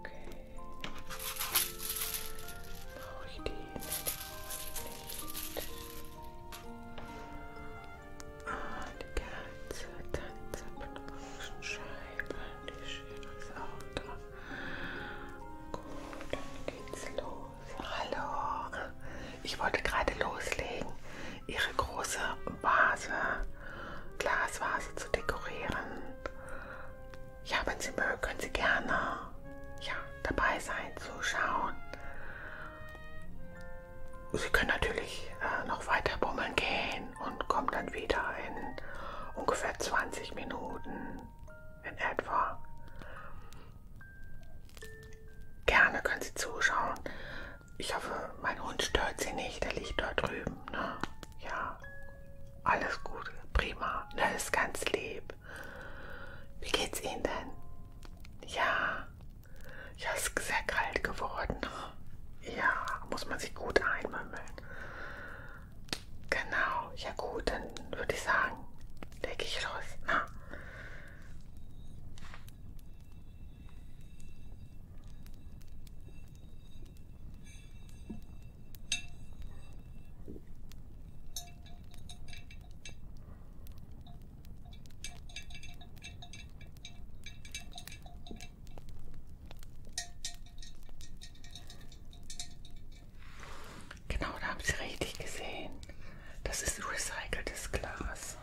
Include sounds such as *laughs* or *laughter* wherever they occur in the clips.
Okay. Brauche ich die? Brauche ich nicht. Ah, die ganze Tanzabdruckscheibe. Die Schere ist auch da. Gut, dann geht's los. Hallo. Ich wollte gerade loslegen ihre große Vase, Glasvase zu dekorieren. Ja, wenn Sie mögen, können Sie gerne ja, dabei sein, zuschauen. Sie können natürlich äh, noch weiter bummeln gehen und kommen dann wieder in ungefähr 20 Minuten in etwa. Gerne können Sie zuschauen. Ich hoffe, mein Hund stört sie nicht. Der liegt dort drüben. Ne? Ja, alles gut. Prima. Ne, ist ganz lieb. Wie geht's Ihnen denn? Ja. Ja, es ist sehr kalt geworden. Ja, muss man sich gut einmümmeln. Genau. Ja gut, dann würde ich sagen, lege ich los. Na? Ne? Genau, da haben Sie richtig gesehen. Das ist recyceltes Glas.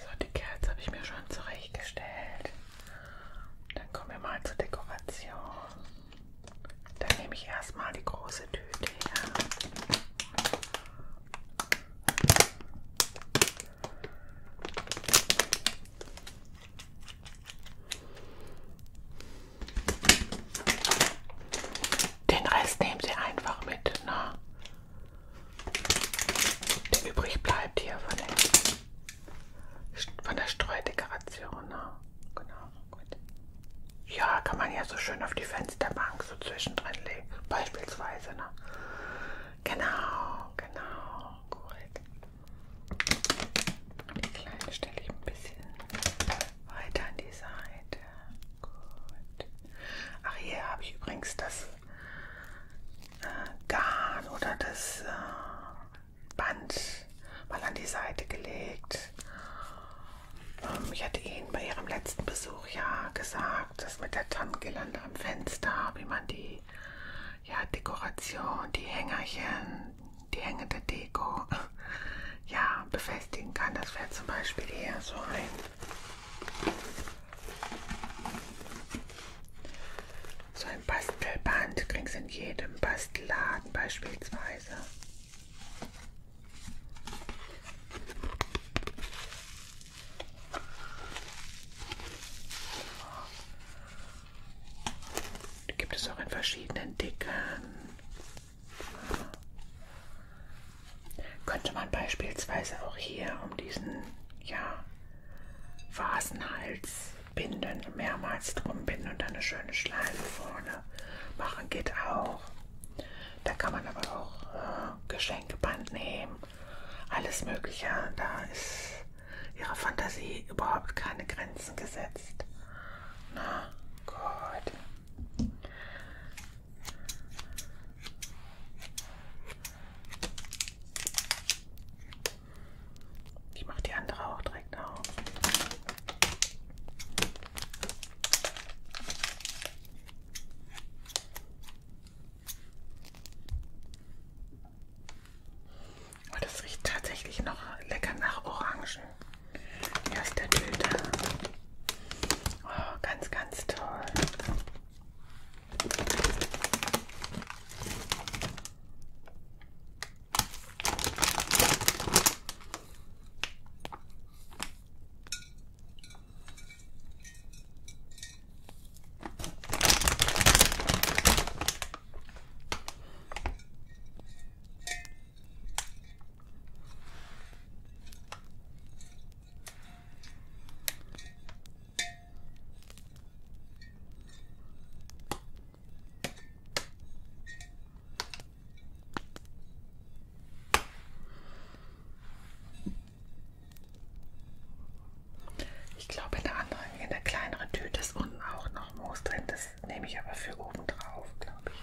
So, die Kerze habe ich mir schon zurechtgestellt. Dann kommen wir mal zur Dekoration. Dann nehme ich erstmal die große Tüte her. Den Rest nehmen Sie einfach mit, ne? Der übrig bleibt hier von, den, von der Streudekoration, ne? Genau, gut. Ja, kann man ja so schön auf die Fensterbank so zwischendrin legen, beispielsweise, ne? Genau, genau, gut. Die kleine stelle ich ein bisschen weiter an die Seite. Gut. Ach, hier habe ich übrigens das äh, Garn oder das äh, Band mal an die Seite gelegt. Ähm, ich hatte Ihnen bei Ihrem letzten Besuch ja gesagt, dass mit der Tannengirlande am Fenster, wie man die ja, Dekoration, die Hängerchen, die hängende Deko *laughs* ja, befestigen kann. Das wäre zum Beispiel eher so ein so ein Bastelband kriegst in jedem Bastelladen beispielsweise. Die gibt es auch in verschiedenen Dickern. Könnte man beispielsweise auch hier um diesen ja, Vasenhals binden, mehrmals drum binden und dann eine schöne Schleife vorne machen, geht auch. Da kann man aber auch äh, Geschenkeband nehmen, alles Mögliche. Da ist ihrer Fantasie überhaupt keine Grenzen gesetzt. Na gut. Ich mache die andere auch direkt auf. Und es riecht tatsächlich noch lecker nach Orangen. Hier aus der Tüte. Oh, ganz, ganz toll. Ich glaube, in der anderen, in der kleineren Tüte ist unten auch noch Moos drin. Das Nehme ich aber für oben drauf, glaube ich.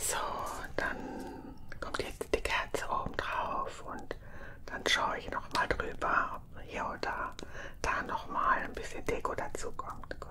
So, dann kommt jetzt die Kerze oben drauf und dann schaue ich noch mal drüber, ob hier oder da noch mal ein bisschen Deko dazu kommt. Gut.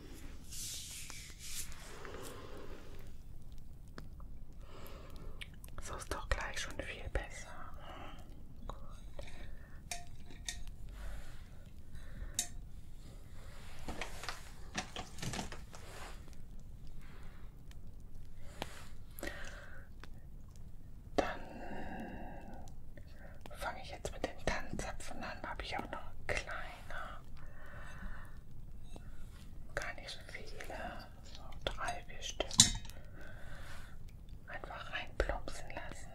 So ist doch gleich schon viel besser. Gut. Dann fange ich jetzt mit den Tannenzapfen an. Habe ich auch noch klein einer. Gar nicht so viele. So drei, vier Stück. Einfach reinplumpsen lassen.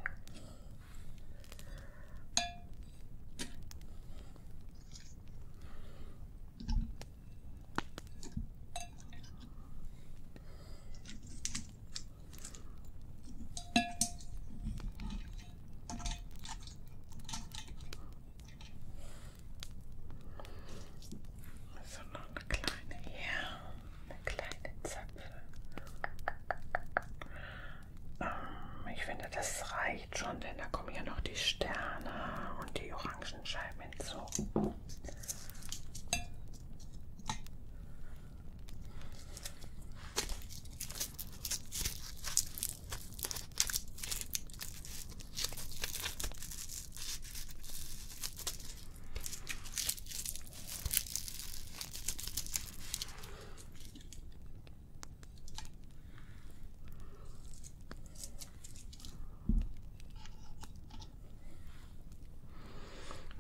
So, noch eine kleine hier, eine kleine Zapfe. Ähm, ich finde, das reicht schon, denn da kommen ja noch die Sterne und die Orangenscheiben hinzu.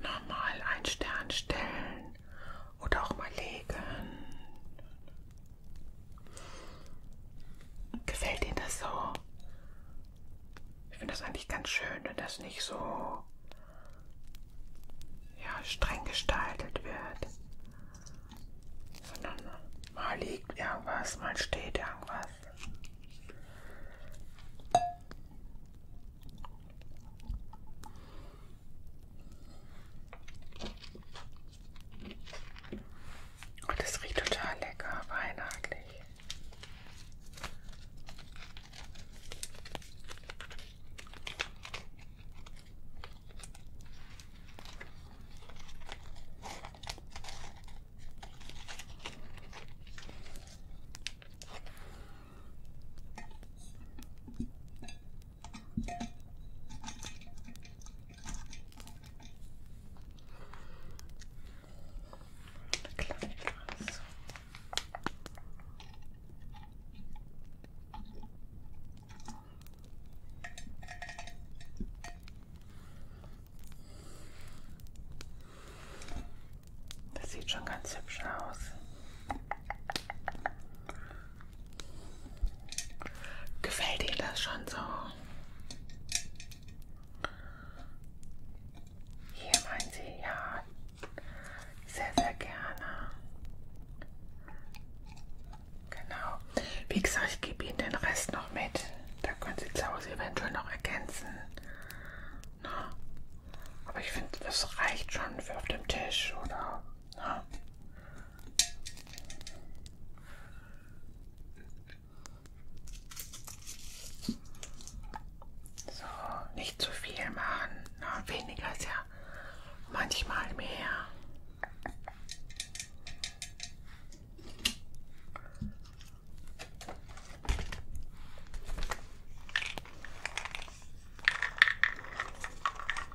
Normal einen Stern stellen oder auch mal legen. Gefällt Ihnen das so? Ich finde das eigentlich ganz schön, wenn das nicht so ja, streng gestaltet wird. Sondern mal liegt irgendwas, mal steht irgendwas. Und es riecht total lecker, weihnachtlich. Das sieht schon ganz hübsch aus. Gefällt dir das schon so? Hier meinen Sie ja sehr, sehr gerne. Genau. Wie gesagt, ich gebe Ihnen den Rest noch mit. Da können Sie zu Hause eventuell noch ergänzen. Na? Ne? Aber ich finde, das reicht schon für auf dem Tisch, oder? Na? Ne? So, nicht zu viel machen. Na, weniger ist ja manchmal mehr.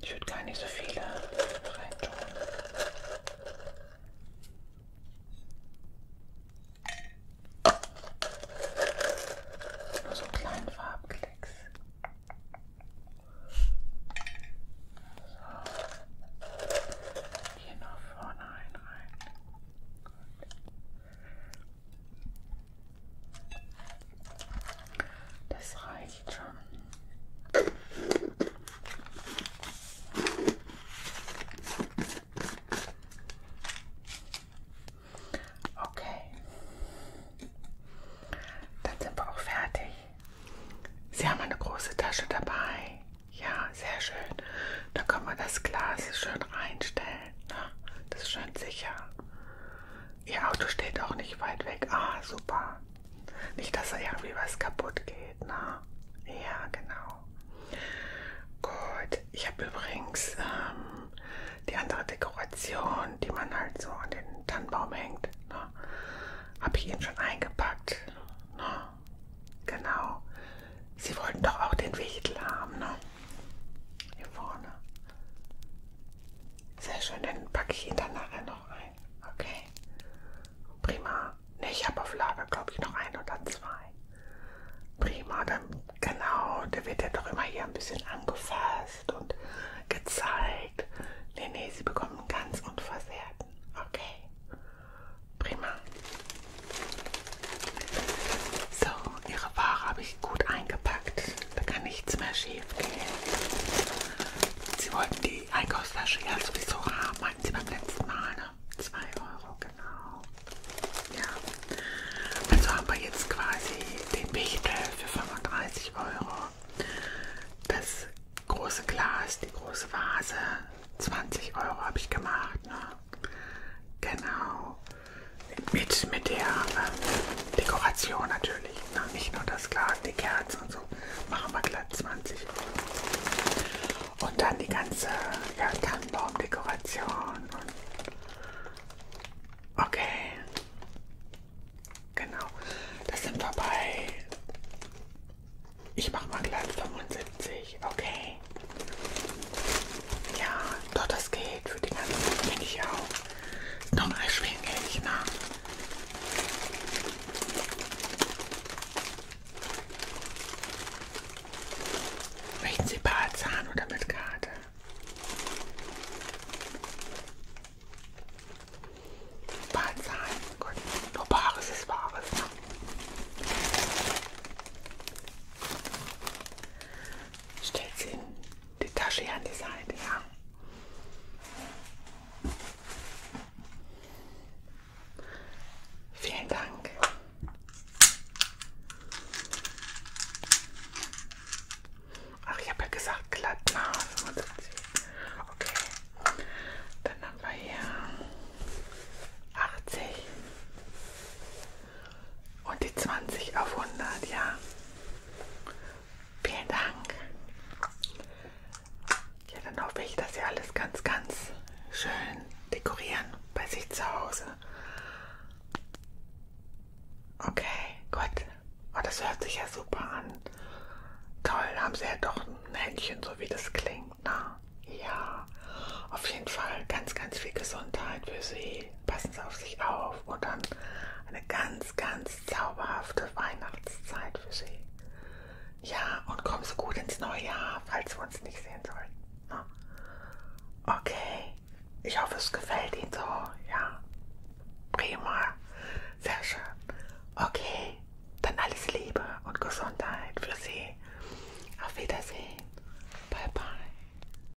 Ich würde gar nicht so viele reintun. Nur so einen kleinen Farbenklecks. So. Hier nach vorne ein rein. Gut. Das reicht schon. Okay. Dann sind wir auch fertig. Sie haben eine große Tasche dabei. Ja, sehr schön. Da können wir das Glas schön reinstellen. Ne? Das ist schön sicher. Ihr Auto steht auch nicht weit weg. Ah, super. Nicht, dass da irgendwie was kaputt geht, ne? Ja, genau. Gut. Ich habe übrigens ähm, die andere Dekoration, die man halt so an den Tannenbaum hängt, ne? Habe ich Ihnen schon eingepackt, ne? Genau. Sie wollten doch auch den Wichtel haben, ne? Hier vorne. Sehr schön, dann packe ich ihn dann nachher noch ein. Okay. Prima. Ne, ich habe auf Lager, glaube ich, noch ein oder zwei. Prima, dann genau, der wird ja doch immer hier ein bisschen angefasst und gezeigt. Ne, ne, sie bekommen ganz unversehrten. Okay. Prima. So, ihre Ware habe ich gut eingepackt. Da kann nichts mehr schief gehen. Sie wollten die Einkaufstasche ja sowieso haben, meinten Sie beim letzten Mal, ne? 2 Euro, genau. Ja. Also haben wir jetzt quasi den Wichtel für 35 Euro. Das große Glas, die große Vase, 20 Euro habe ich gemacht, ne? Genau. Mit, mit der ähm, Dekoration natürlich. Na, ne? nicht nur das Glas, die Kerzen und so. Machen wir glatt 20. Und dann die ganze ja, Tannenbaumdekoration. Okay. Genau. Das sind wir bei. Ich mache mal glatt 75. Okay. Ja, doch, das geht. Für die ganzen bin ich auch noch erschwinglich, ne? Möchten Sie paar Zahn oder mit Karte? Paar Zahn, gut. Nur Bares ist Bares, ne? Stellt sie in die Tasche hier an die Seite. Ja. Vielen Dank. Ach, ich habe ja gesagt glatt nah. Okay. Dann haben wir hier 80 und die 20 auf 100, ja. Vielen Dank. Ja, dann hoffe ich, dass Sie alles ganz, ganz schön dekorieren bei sich zu Hause. Okay, gut. Oh, das hört sich ja super an. Toll, haben Sie ja doch ein Händchen, so wie das klingt. Na, ne? ja, auf jeden Fall ganz, ganz viel Gesundheit für Sie passen Sie auf sich auf und dann eine ganz, ganz zauberhafte Weihnachtszeit für Sie. Ja, und kommen Sie gut ins neue Jahr, falls wir uns nicht sehen sollten. Ne? Okay, ich hoffe, es gefällt Ihnen so. Ja, prima, sehr schön. Okay, dann alles Liebe und Gesundheit für Sie. Auf Wiedersehen. Bye, bye.